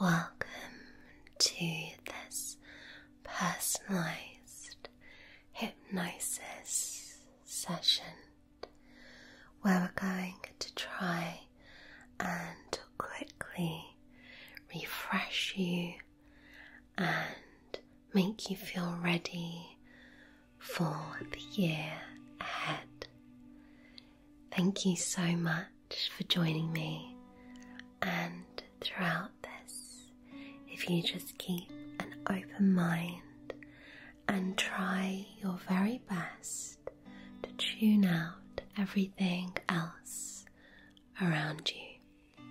Welcome to this personalized hypnosis session where we're going to try and quickly refresh you and make you feel ready for the year ahead. Thank you so much for joining me, and throughout this, if you just keep an open mind and try your very best to tune out everything else around you.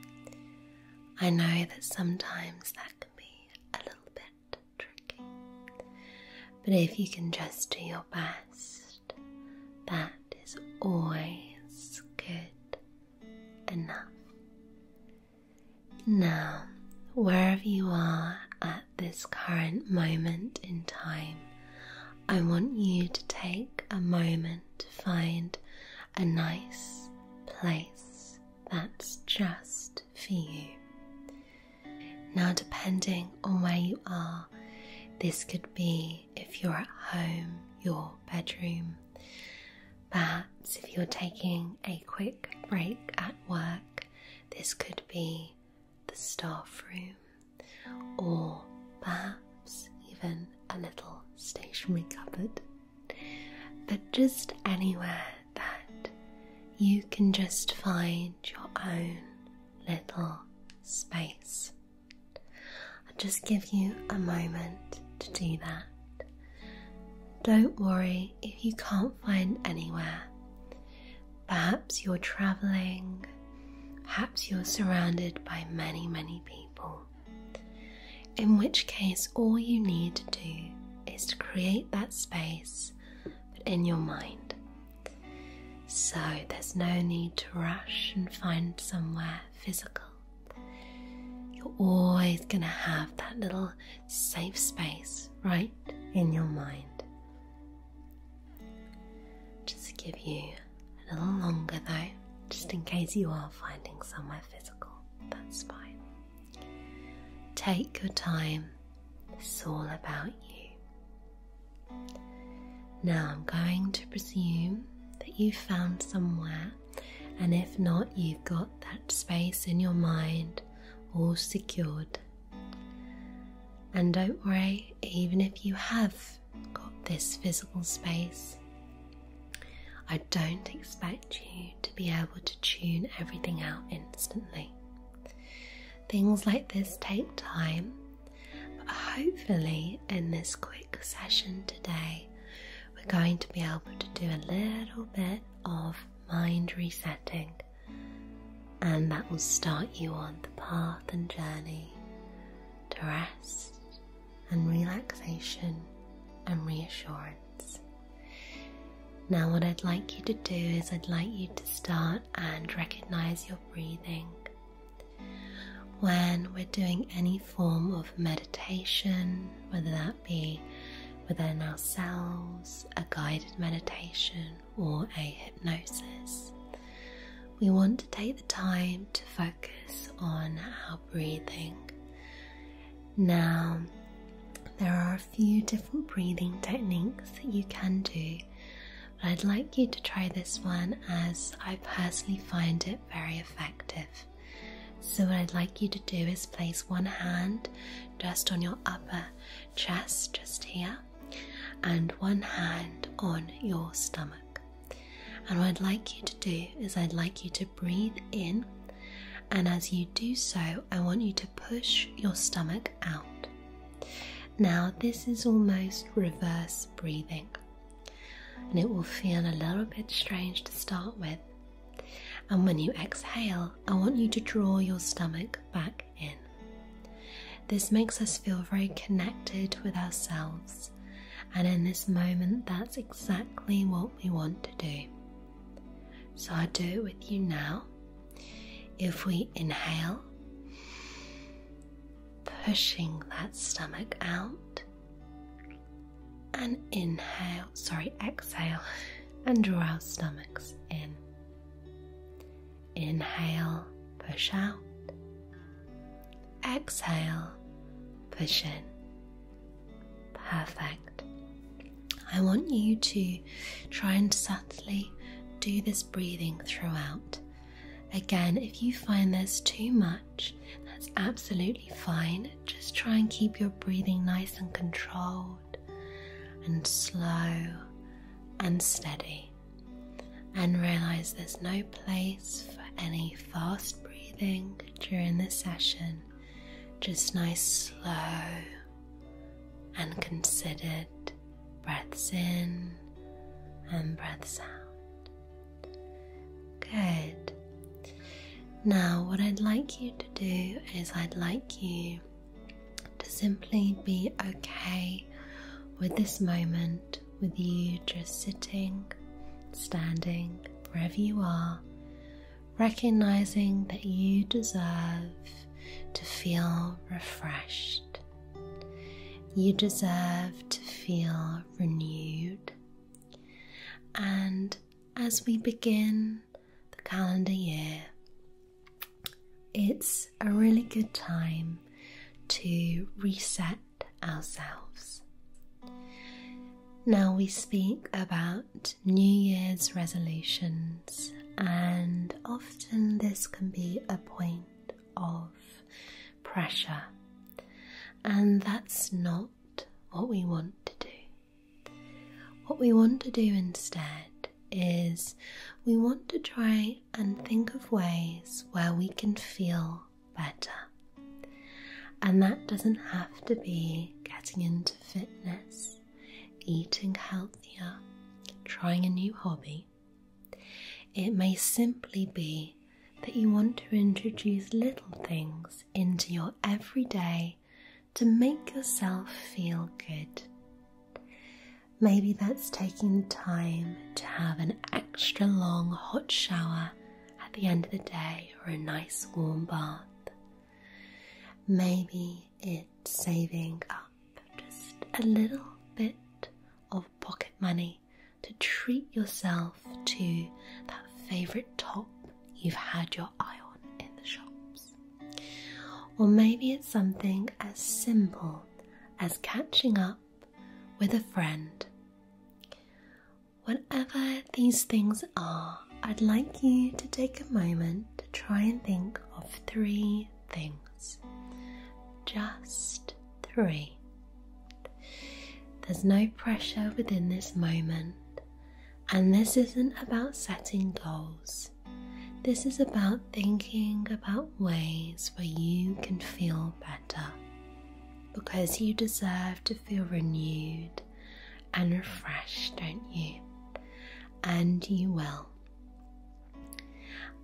I know that sometimes that can be a little bit tricky. But if you can just do your best, that is always good enough. Now, wherever you are at this current moment in time, I want you to take a moment to find a nice place that's just for you. Now, depending on where you are, this could be if you're at home, your bedroom, perhaps if you're taking a quick break at work, this could be the staff room, or perhaps even a little stationary cupboard. But just anywhere that you can just find your own little space. I'll just give you a moment to do that. Don't worry if you can't find anywhere. Perhaps you're traveling, perhaps you're surrounded by many, many people. In which case, all you need to do is to create that space but in your mind. So there's no need to rush and find somewhere physical. You're always going to have that little safe space right in your mind. Just give you a little longer though, just in case you are finding somewhere physical. That's fine. Take your time, it's all about you. Now I'm going to presume that you found somewhere, and if not, you've got that space in your mind all secured. And don't worry, even if you have got this physical space, I don't expect you to be able to tune everything out instantly. Things like this take time, but hopefully, in this quick session today, we're going to be able to do a little bit of mind resetting, and that will start you on the path and journey to rest and relaxation and reassurance. Now, what I'd like you to do is, I'd like you to start and recognize your breathing. When we're doing any form of meditation, whether that be within ourselves, a guided meditation, or a hypnosis, we want to take the time to focus on our breathing. Now, there are few different breathing techniques that you can do, but I'd like you to try this one as I personally find it very effective. So, what I'd like you to do is place one hand just on your upper chest, just here, and one hand on your stomach. And what I'd like you to do is, I'd like you to breathe in and as you do so, I want you to push your stomach out. Now, this is almost reverse breathing, and it will feel a little bit strange to start with. And when you exhale, I want you to draw your stomach back in. This makes us feel very connected with ourselves, and in this moment, that's exactly what we want to do. So, i do it with you now. If we inhale, pushing that stomach out, and inhale, sorry, exhale, and draw our stomachs in. Inhale, push out. Exhale, push in. Perfect. I want you to try and subtly do this breathing throughout. Again, if you find there's too much, that's absolutely fine. Just try and keep your breathing nice and controlled and slow and steady. And realize there's no place for any fast breathing during this session, just nice, slow and considered breaths in and breaths out. Good. Now, what I'd like you to do is, I'd like you to simply be okay with this moment, with you just sitting, standing, wherever you are, recognizing that you deserve to feel refreshed. You deserve to feel renewed. And as we begin the calendar year, it's a really good time to reset ourselves. Now we speak about New Year's resolutions, and often this can be a point of pressure, and that's not what we want to do. What we want to do instead is we want to try and think of ways where we can feel better. And that doesn't have to be getting into fitness eating healthier, trying a new hobby. It may simply be that you want to introduce little things into your everyday to make yourself feel good. Maybe that's taking time to have an extra long hot shower at the end of the day or a nice warm bath. Maybe it's saving up just a little bit of pocket money to treat yourself to that favorite top you've had your eye on in the shops. Or maybe it's something as simple as catching up with a friend. Whatever these things I'd like you to take a moment to try and think of three things. Just three. There's no pressure within this moment, and this isn't about setting goals. This is about thinking about ways where you can feel better because you deserve to feel renewed and refreshed, don't you? And you will.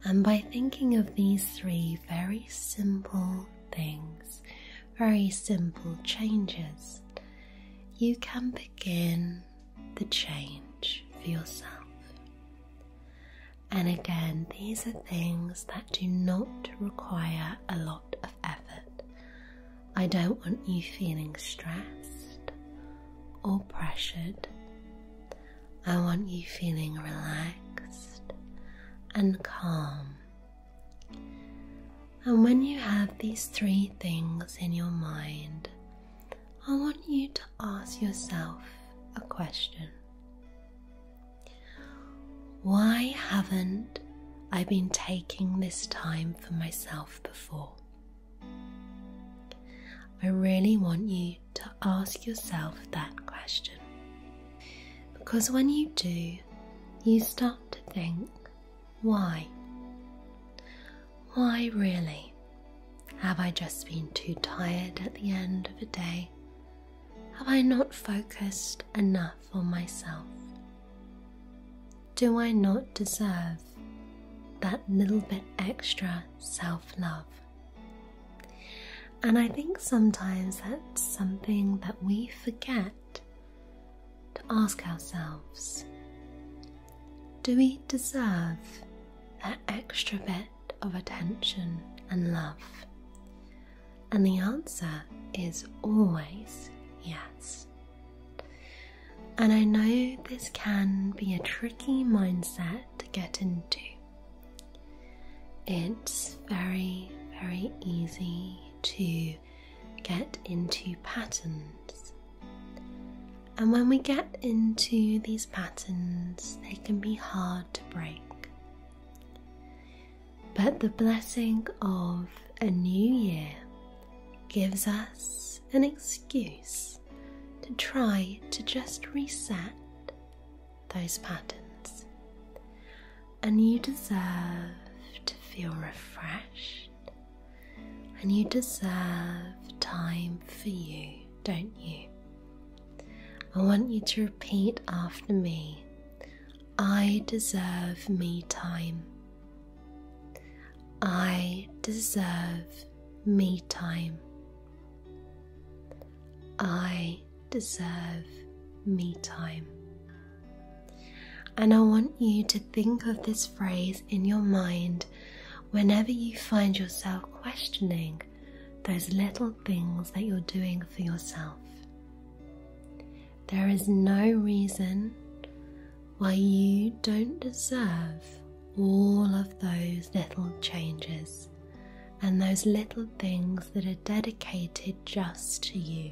And by thinking of these three very simple things, very simple changes, you can begin the change for yourself. And again, these are things that do not require a lot of effort, I don't want you feeling stressed or pressured. I want you feeling relaxed and calm. And when you have these three things in your mind, I want you to ask yourself a question. Why haven't I been taking this time for myself before? I really want you to ask yourself that question. Because when you do, you start to think, why? Why really? Have I just been too tired at the end of a day? Have I not focused enough on myself? do I not deserve that little bit extra self love? And I think sometimes that's something that we forget to ask ourselves do we deserve that extra bit of attention and love? And the answer is always yes. And I know this can be a tricky mindset to get into. It's very, very easy to get into patterns. And when we get into these patterns, they can be hard to break. But the blessing of a new year gives us an excuse to try to just reset those patterns. And you deserve to feel refreshed, and you deserve time for you, don't you? I want you to repeat after me I deserve me time. I deserve me time. I deserve me time. And I want you to think of this phrase in your mind whenever you find yourself questioning those little things that you're doing for yourself. There is no reason why you don't deserve all of those little changes and those little things that are dedicated just to you.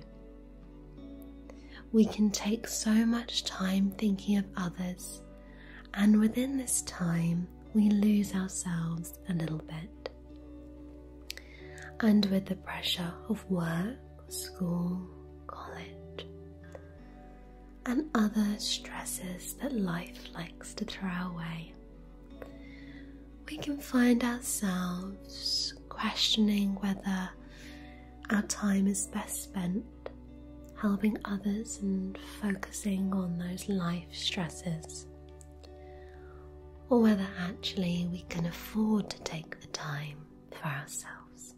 We can take so much time thinking of others, and within this time, we lose ourselves a little bit. And with the pressure of work, school, college, and other stresses that life likes to throw away. We can find ourselves questioning whether our time is best spent helping others and focusing on those life stresses, or whether actually we can afford to take the time for ourselves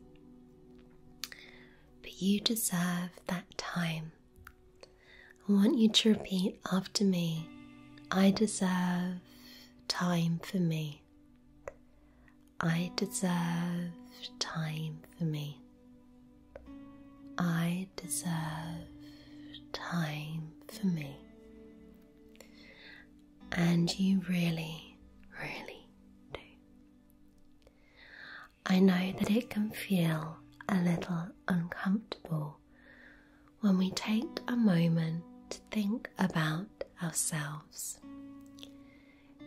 but you deserve that time. I want you to repeat after me I deserve time for me. I deserve time for me. I deserve time for me. And you really, really do. I know that it can feel a little uncomfortable when we take a moment to think about ourselves.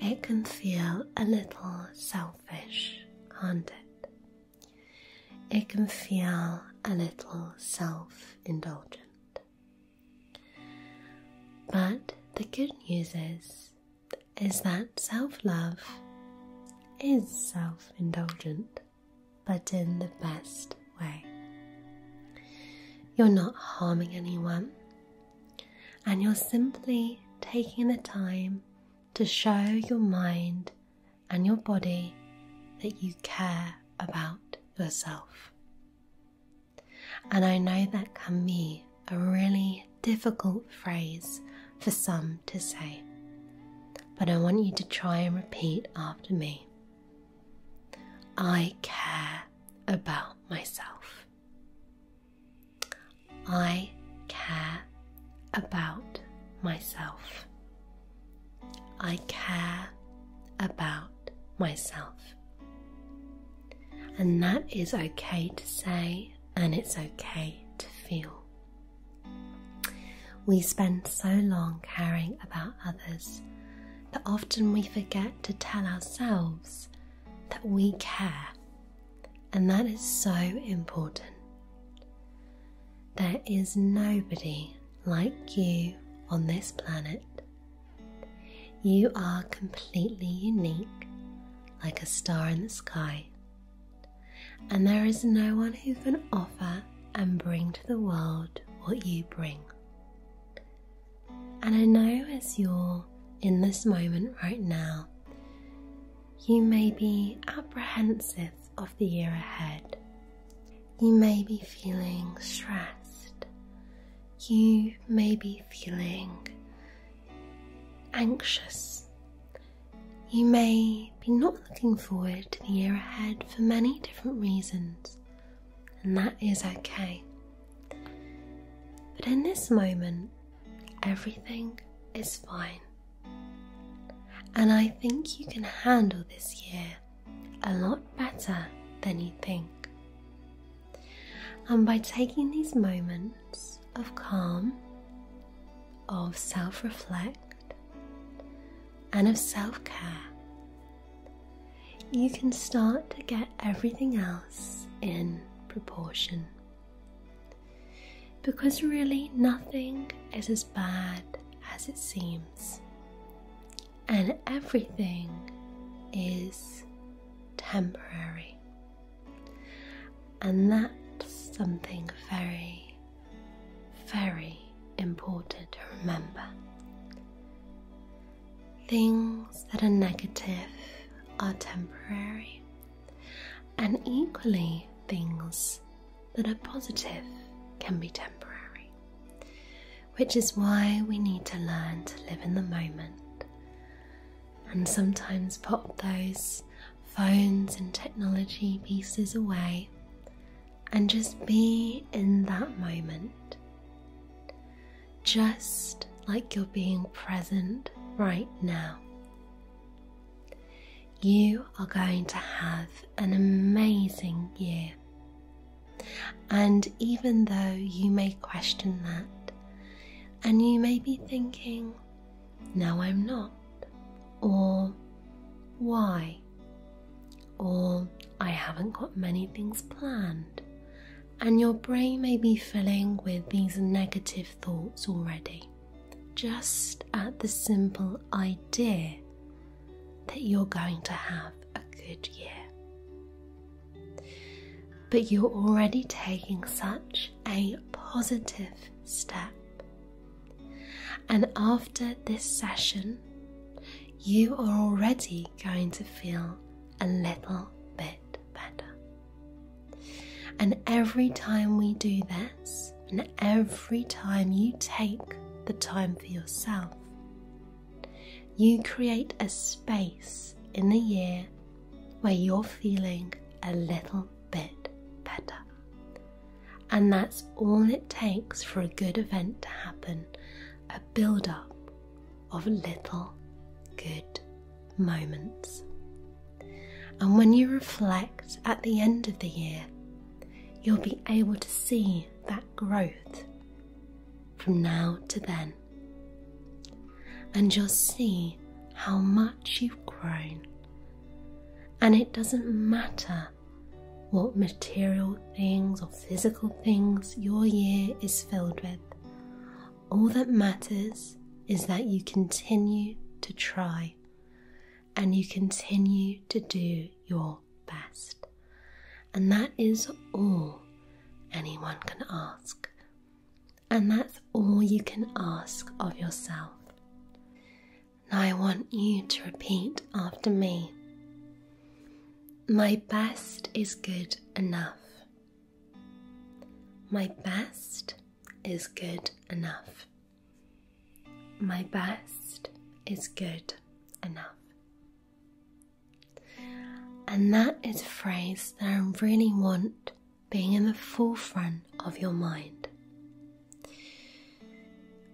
It can feel a little selfish, can't it? It can feel a little self indulgent. But the good news is is that self love is self indulgent, but in the best way. You're not harming anyone, and you're simply taking the time to show your mind and your body that you care about yourself. And I know that can be a really difficult phrase for some to say, but I want you to try and repeat after me. I care about myself. I care about myself. I care about myself. And that is okay to say, and it's okay to feel. We spend so long caring about others that often we forget to tell ourselves that we care, and that is so important. There is nobody like you on this planet. You are completely unique, like a star in the sky, and there is no one who can offer and bring to the world what you bring. And I know as you're in this moment right now, you may be apprehensive of the year ahead. You may be feeling stressed. You may be feeling anxious. You may be not looking forward to the year ahead for many different reasons, and that is okay. But in this moment, everything is fine. And I think you can handle this year a lot better than you think. And by taking these moments of calm, of self reflect, and of self care, you can start to get everything else in proportion. Because really, nothing is as bad as it seems, and everything is temporary. And that's something very, very important to remember. Things that are negative are temporary, and equally, things that are positive can be temporary, which is why we need to learn to live in the moment and sometimes pop those phones and technology pieces away and just be in that moment. Just like you're being present right now. You are going to have an amazing year. And even though you may question that, and you may be thinking, now I'm not, or why, or I haven't got many things planned. And your brain may be filling with these negative thoughts already, just at the simple idea that you're going to have a good year. But you're already taking such a positive step. And after this session, you are already going to feel a little bit better. And every time we do this, and every time you take the time for yourself, you create a space in the year where you're feeling a little bit better. And that's all it takes for a good event to happen a build up of little good moments. And when you reflect at the end of the year, you'll be able to see that growth from now to then and you'll see how much you've grown. And it doesn't matter what material things or physical things your year is filled with, all that matters is that you continue to try and you continue to do your best. And that is all anyone can ask and that's all you can ask of yourself. Now I want you to repeat after me. My best is good enough. My best is good enough. My best is good enough. And that is a phrase that I really want being in the forefront of your mind.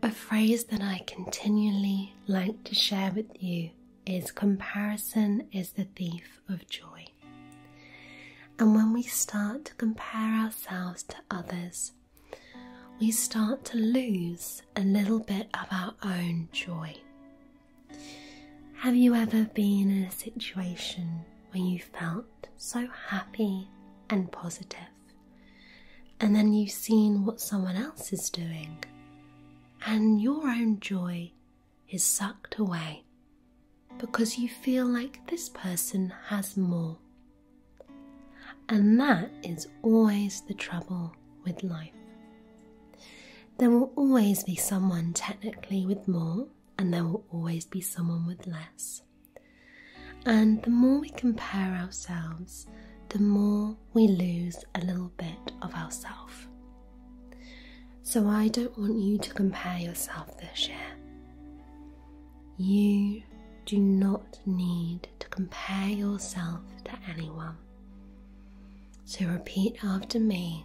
A phrase that I continually like to share with you is comparison is the thief of joy. And when we start to compare ourselves to others, we start to lose a little bit of our own joy. Have you ever been in a situation where you felt so happy and positive, and then you've seen what someone else is doing, and your own joy is sucked away because you feel like this person has more? And that is always the trouble with life. There will always be someone technically with more and there will always be someone with less. And the more we compare ourselves, the more we lose a little bit of ourselves. So I don't want you to compare yourself this year. You do not need to compare yourself to anyone. So repeat after me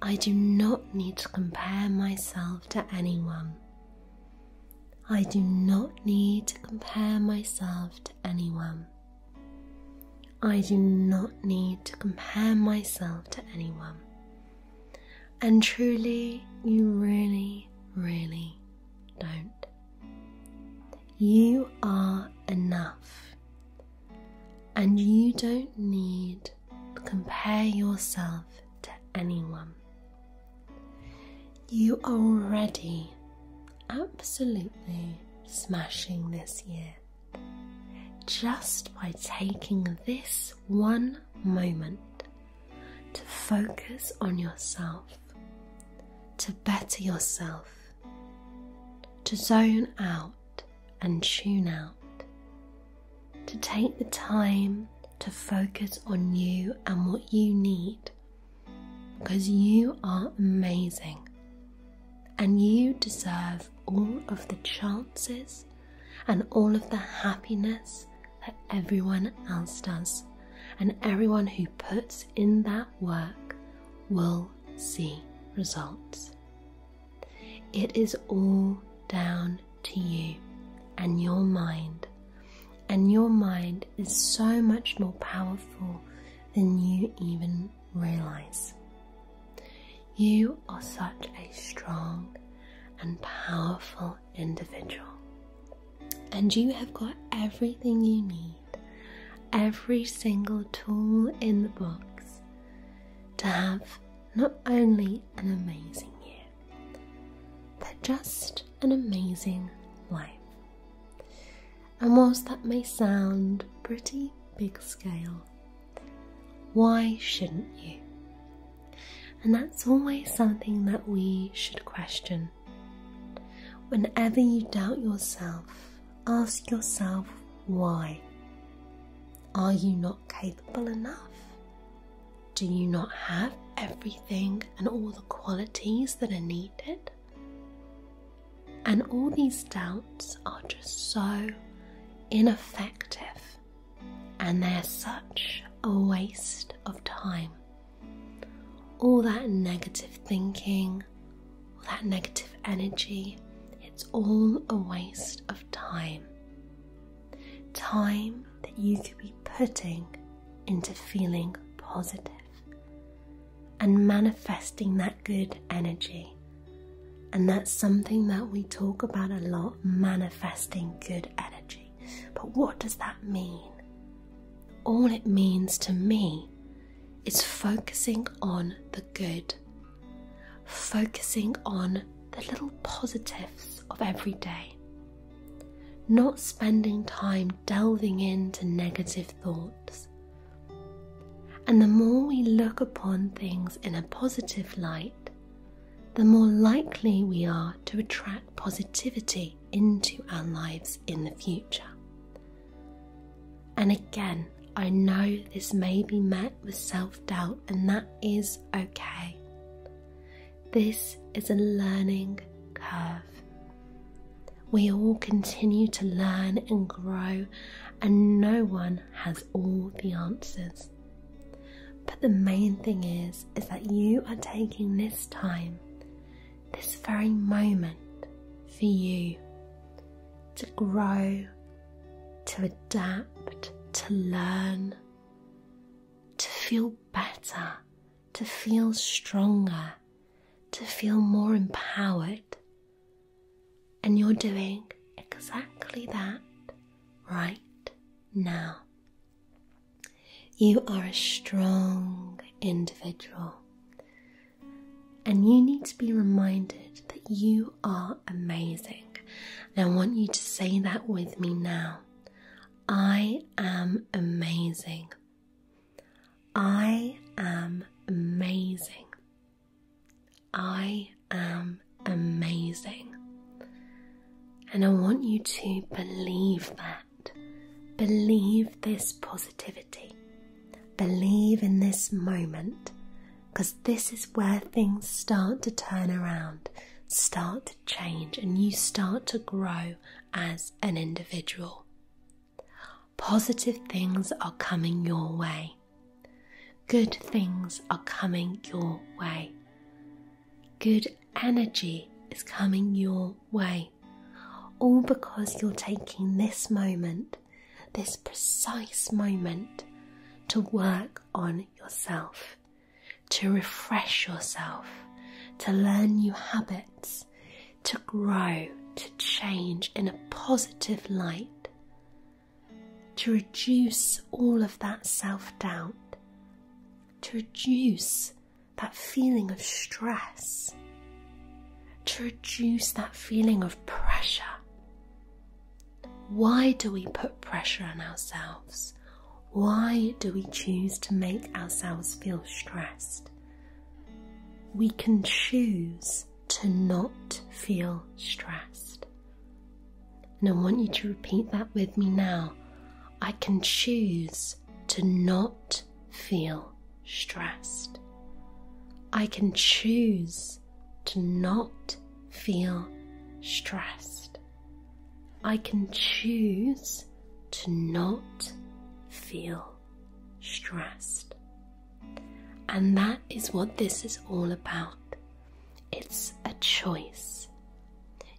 I do not need to compare myself to anyone. I do not need to compare myself to anyone. I do not need to compare myself to anyone. And truly, you really, really don't. You are enough. And you don't need compare yourself to anyone. You are already absolutely smashing this year just by taking this one moment to focus on yourself, to better yourself, to zone out and tune out to take the time to focus on you and what you need because you are amazing and you deserve all of the chances and all of the happiness that everyone else does and everyone who puts in that work will see results it is all down to you and your mind, and your mind is so much more powerful than you even realize. You are such a strong and powerful individual, and you have got everything you need, every single tool in the box, to have not only an amazing year, but just an amazing life. And whilst that may sound pretty big scale, why shouldn't you? And that's always something that we should question. Whenever you doubt yourself, ask yourself why. Are you not? capable enough? Do you not have everything and all the qualities that are needed? And all these doubts are just so ineffective and they're such a waste of time. All that negative thinking, all that negative energy, it's all a waste of time. Time that you could be putting into feeling positive and manifesting that good energy. And that's something that we talk about a lot manifesting good energy. But what does that mean? All it means to me is focusing on the good focusing on the little positives of every day, not spending time delving into negative thoughts. And the more we look upon things in a positive light, the more likely we are to attract positivity into our lives in the future. And again, I know this may be met with self doubt, and that is okay. This is a learning curve. We all continue to learn and grow, and no one has all the answers. But the main thing is is that you are taking this time, this very moment for you to grow to adapt, to learn, to feel better, to feel stronger, to feel more empowered. And you're doing exactly that right now. You are a strong individual, and you need to be reminded that you are amazing. And I want you to say that with me now. I am amazing. I am amazing. I am amazing. And I want you to believe that. Believe this positivity. Believe in this moment because this is where things start to turn around, start to change, and you start to grow as an individual. Positive things are coming your way, good things are coming your way, good energy is coming your way. All because you're taking this moment, this precise moment, to work on yourself, to refresh yourself, to learn new habits, to grow, to change in a positive light, to reduce all of that self doubt, to reduce that feeling of stress, to reduce that feeling of pressure. Why do we put pressure on ourselves? Why do we choose to make ourselves feel stressed? We can choose to not feel stressed. And I want you to repeat that with me now. I can choose to not feel stressed. I can choose us to not feel stressed. I can choose to not feel stressed. And that is what this is all about. It's a choice.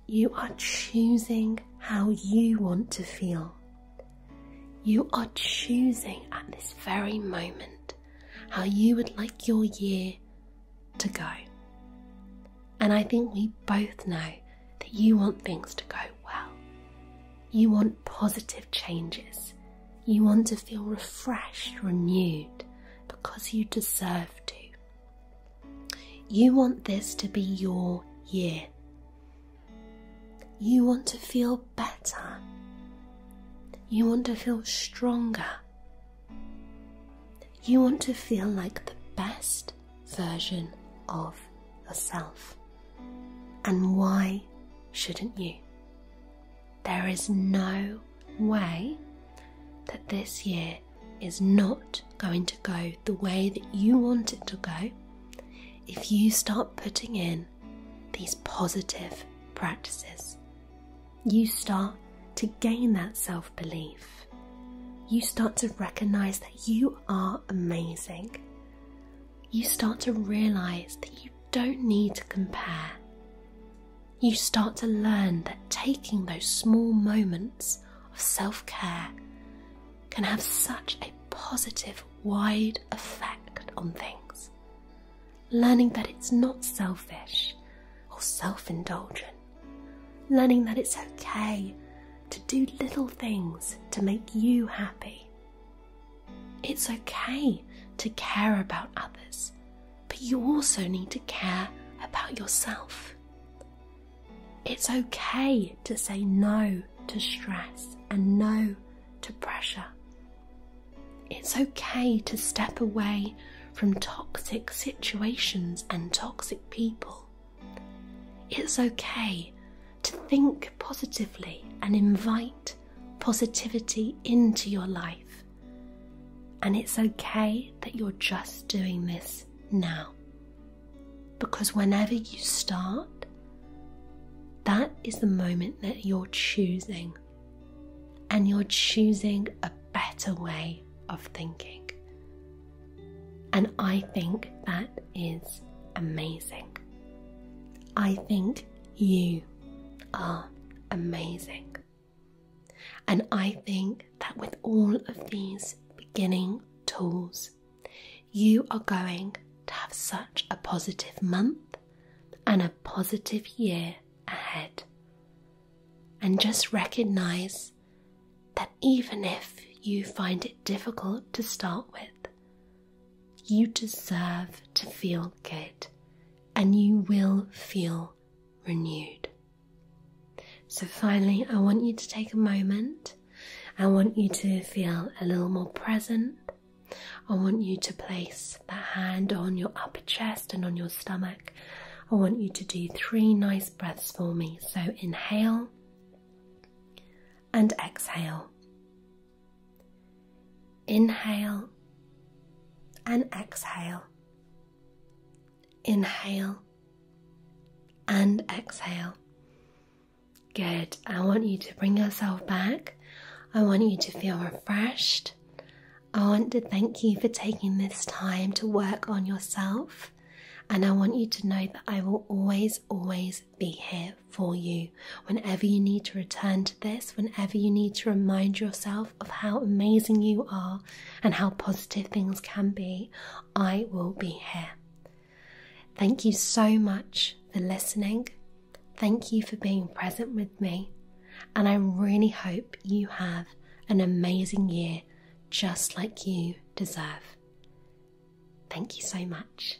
You are choosing how you want to feel. You are choosing at this very moment how you would like your year to go. And I think we both know that you want things to go well. You want positive changes. You want to feel refreshed, renewed, because you deserve to. You want this to be your year. You want to feel better. You want to feel stronger you want to feel like the best version of yourself. And why shouldn't you? There is no way that this year is not going to go the way that you want it to go if you start putting in these positive practices you start to gain that self belief. You start to recognize that you are amazing. You start to realize that you don't need to compare. You start to learn that taking those small moments of self care can have such a positive, wide effect on things learning that it's not selfish or self indulgent, learning that it's okay to do little things to make you happy. It's okay to care about others, but you also need to care about yourself. It's okay to say no to stress and no to pressure it's okay to step away from toxic situations and toxic people. It's okay to think positively and invite positivity into your life. And it's okay that you're just doing this now. Because whenever you start, that is the moment that you're choosing and you're choosing a better way of thinking. And I think that is amazing. I think you are amazing. And I think that with all of these beginning tools, you are going to have such a positive month and a positive year ahead and just recognize that even if you find it difficult to start with, you deserve to feel good and you will feel renewed. So, finally, I want you to take a moment. I want you to feel a little more present. I want you to place place the hand on your upper chest and on your stomach. I want you to do three nice breaths for me. So inhale and exhale. Inhale and exhale. Inhale and exhale. Good. I want you to bring yourself back. I want you to feel refreshed. I want to thank you for taking this time to work on yourself, and I want you to know that I will always, always be here for you whenever you need to return to this, whenever you need to remind yourself of how amazing you are and how positive things can be. I will be here. Thank you so much for listening. Thank you for being present with me and I really hope you have an amazing year just like you deserve. Thank you so much.